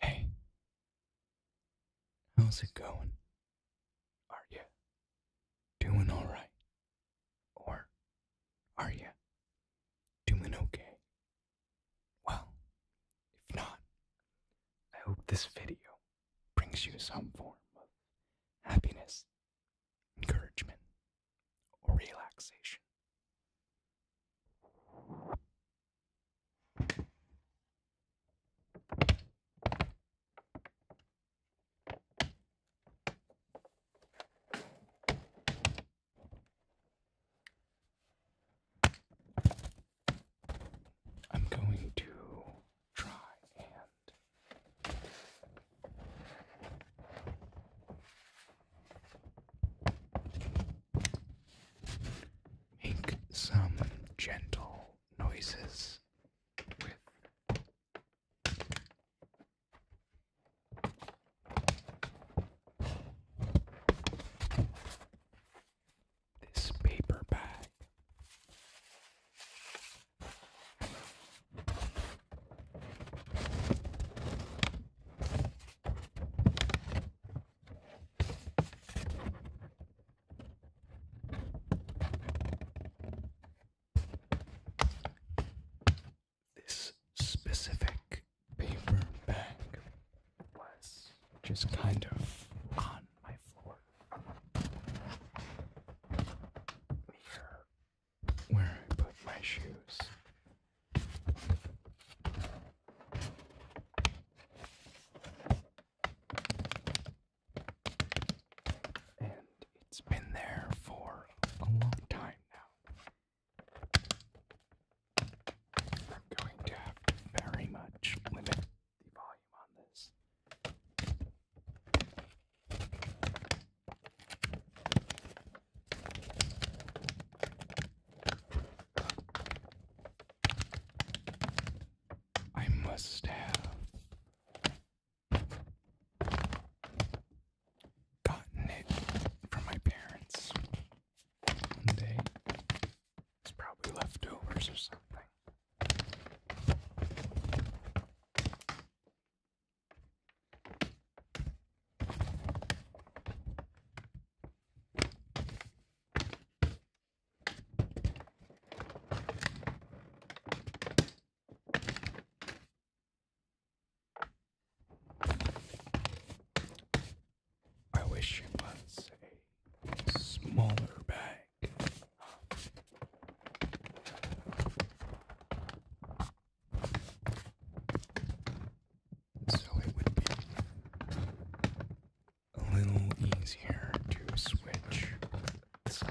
Hey, how's it going? Are you doing alright? Or are you doing okay? Well, if not, I hope this video brings you some form of happiness, encouragement, or relaxation. I'm going to try and make some gentle noises with. This paper bag. This specific paper bag was just kind of on my floor near where I put my shoes. And it's been there for a long time now. I'm going to very much limit the volume on this. I must have gotten it from my parents one It's probably leftovers or something. I wish you was a smaller bag so it would be a little easier to switch sides.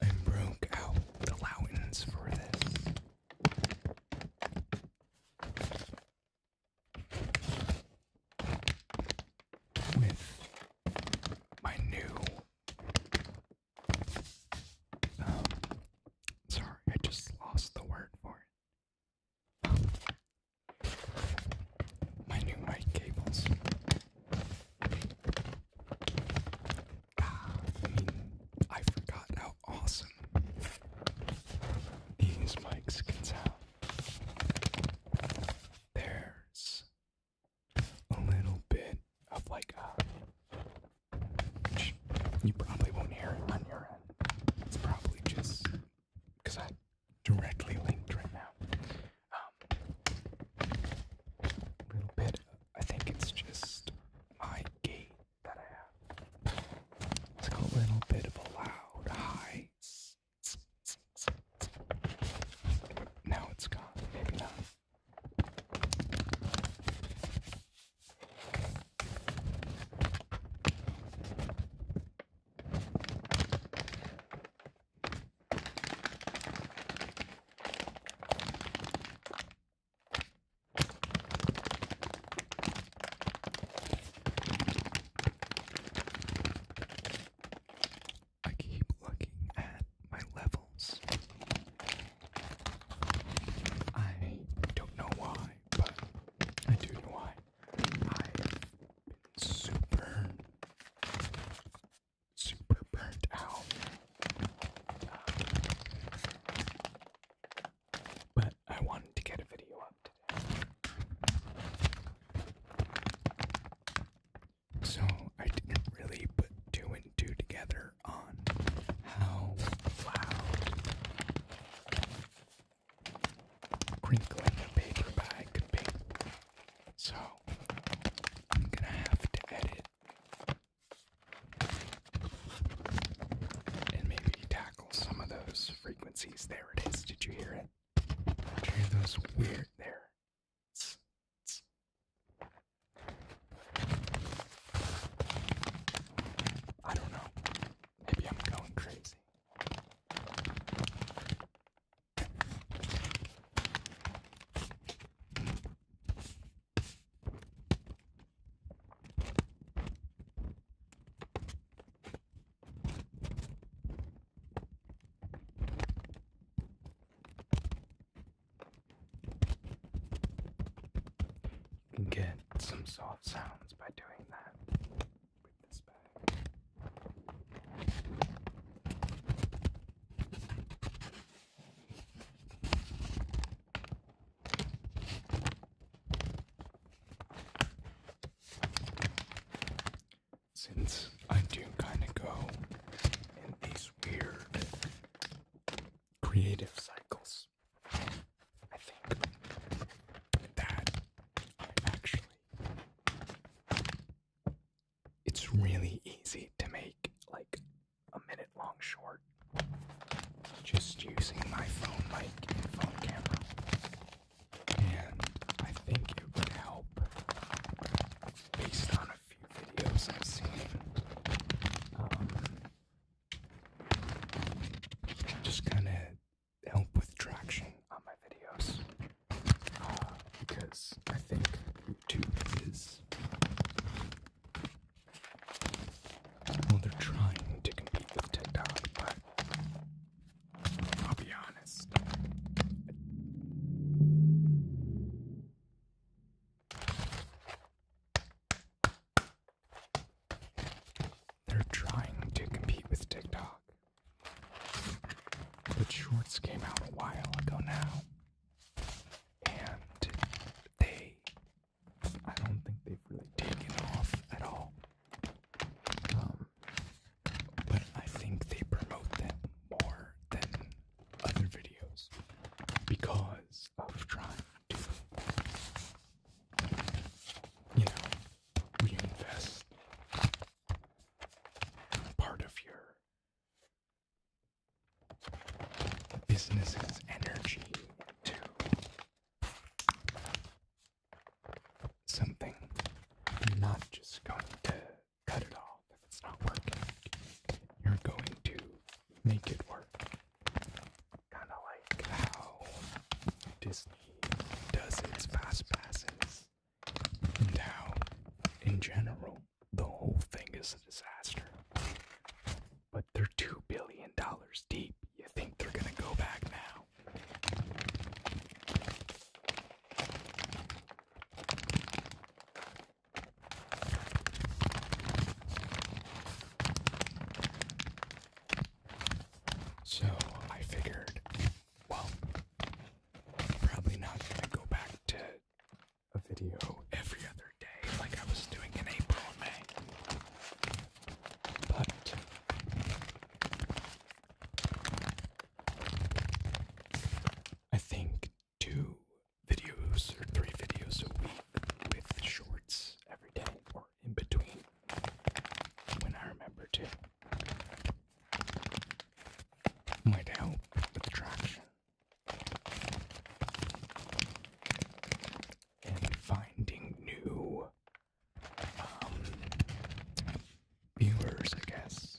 and broke out the allowance for this. With my new, um, sorry, I just lost the word for it. my new mic cables. I forgot how awesome these mics can sound. There's a little bit of like a. Which you probably won't hear on your end. It's probably just because I directly linked right now um, little bit. I think it's just my gate that I have. It's got a little bit of a loud high. Now it's gone. Maybe not. I keep looking at my levels. I don't know why, but I do know why. i am super super burnt out. but I wanted to get a video up today. So I didn't really put two and two together on how loud crinkling a paper bag so I'm gonna have to edit and maybe tackle some of those frequencies. There it is. Did you hear it? Did you hear those weird there? I don't know. Maybe I'm going crazy. You can get some soft sounds by doing that with this bag. Since I do kind of go in these weird creative cycles, I think that I actually it's really easy to make like a minute long short just using my phone mic and phone camera. And I think it would help based on a few videos I've seen. Um, just kind of help with traction on my videos because I think YouTube is. Well, they're trying to compete with TikTok, but I'll be honest. They're trying to compete with TikTok. But shorts came out a while ago now. And they I don't think they've really taken off at all. Um but I think they promote them more than other videos because of trying to you know reinvest part of your business's energy to something. You're not just going to cut it off if it's not working. You're going to make it work. Kind of like how Disney does its fast passes. Now, in general, the whole thing is a disaster. But they're $2 billion deep. You think they're gonna go back now? So I figured well, probably not gonna go back to a video every other day like I was doing in April and May. But I think two videos or three videos a week with shorts every day or in between when I remember to might help with the traction and finding new um, viewers, I guess.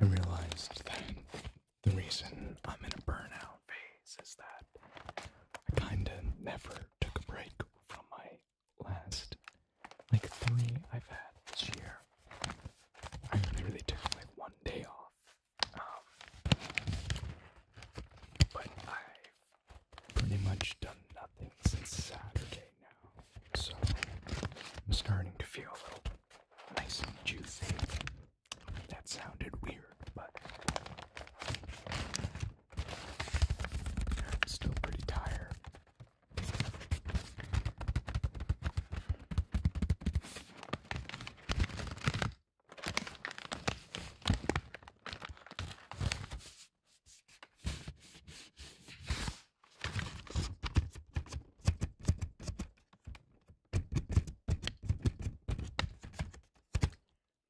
I realized that the reason I'm in a burnout phase is that I kind of never took a break from my last, like, three I've had this year. I only really took, like, one day off. Um, but I pretty much done nothing since Saturday now, so I'm starting to feel a little nice and juicy. That sounded weird, but I'm still pretty tired.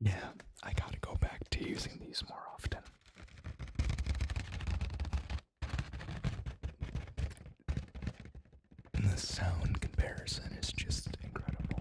Yeah, I gotta go back to using these more often. the sound comparison is just incredible.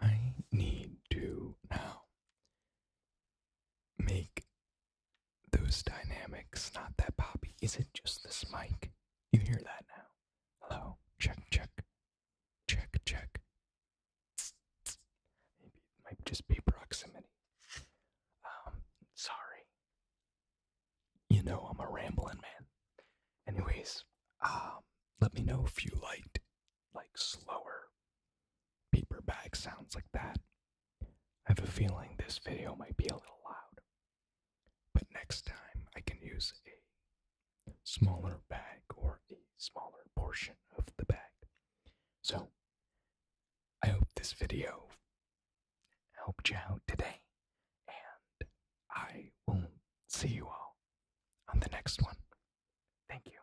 I need to now make those dynamics not that poppy. Is it just this mic? You hear that now? Hello. Check, check, check, check. Maybe it might just be proximity. Um, sorry. You know I'm a rambling man. Anyways, um, let me know if you liked like slower paper bag sounds like that. I have a feeling this video might be a little loud, but next time I can use a smaller bag or a smaller portion of the bag. So, I hope this video helped you out today, and I will see you all on the next one. Thank you.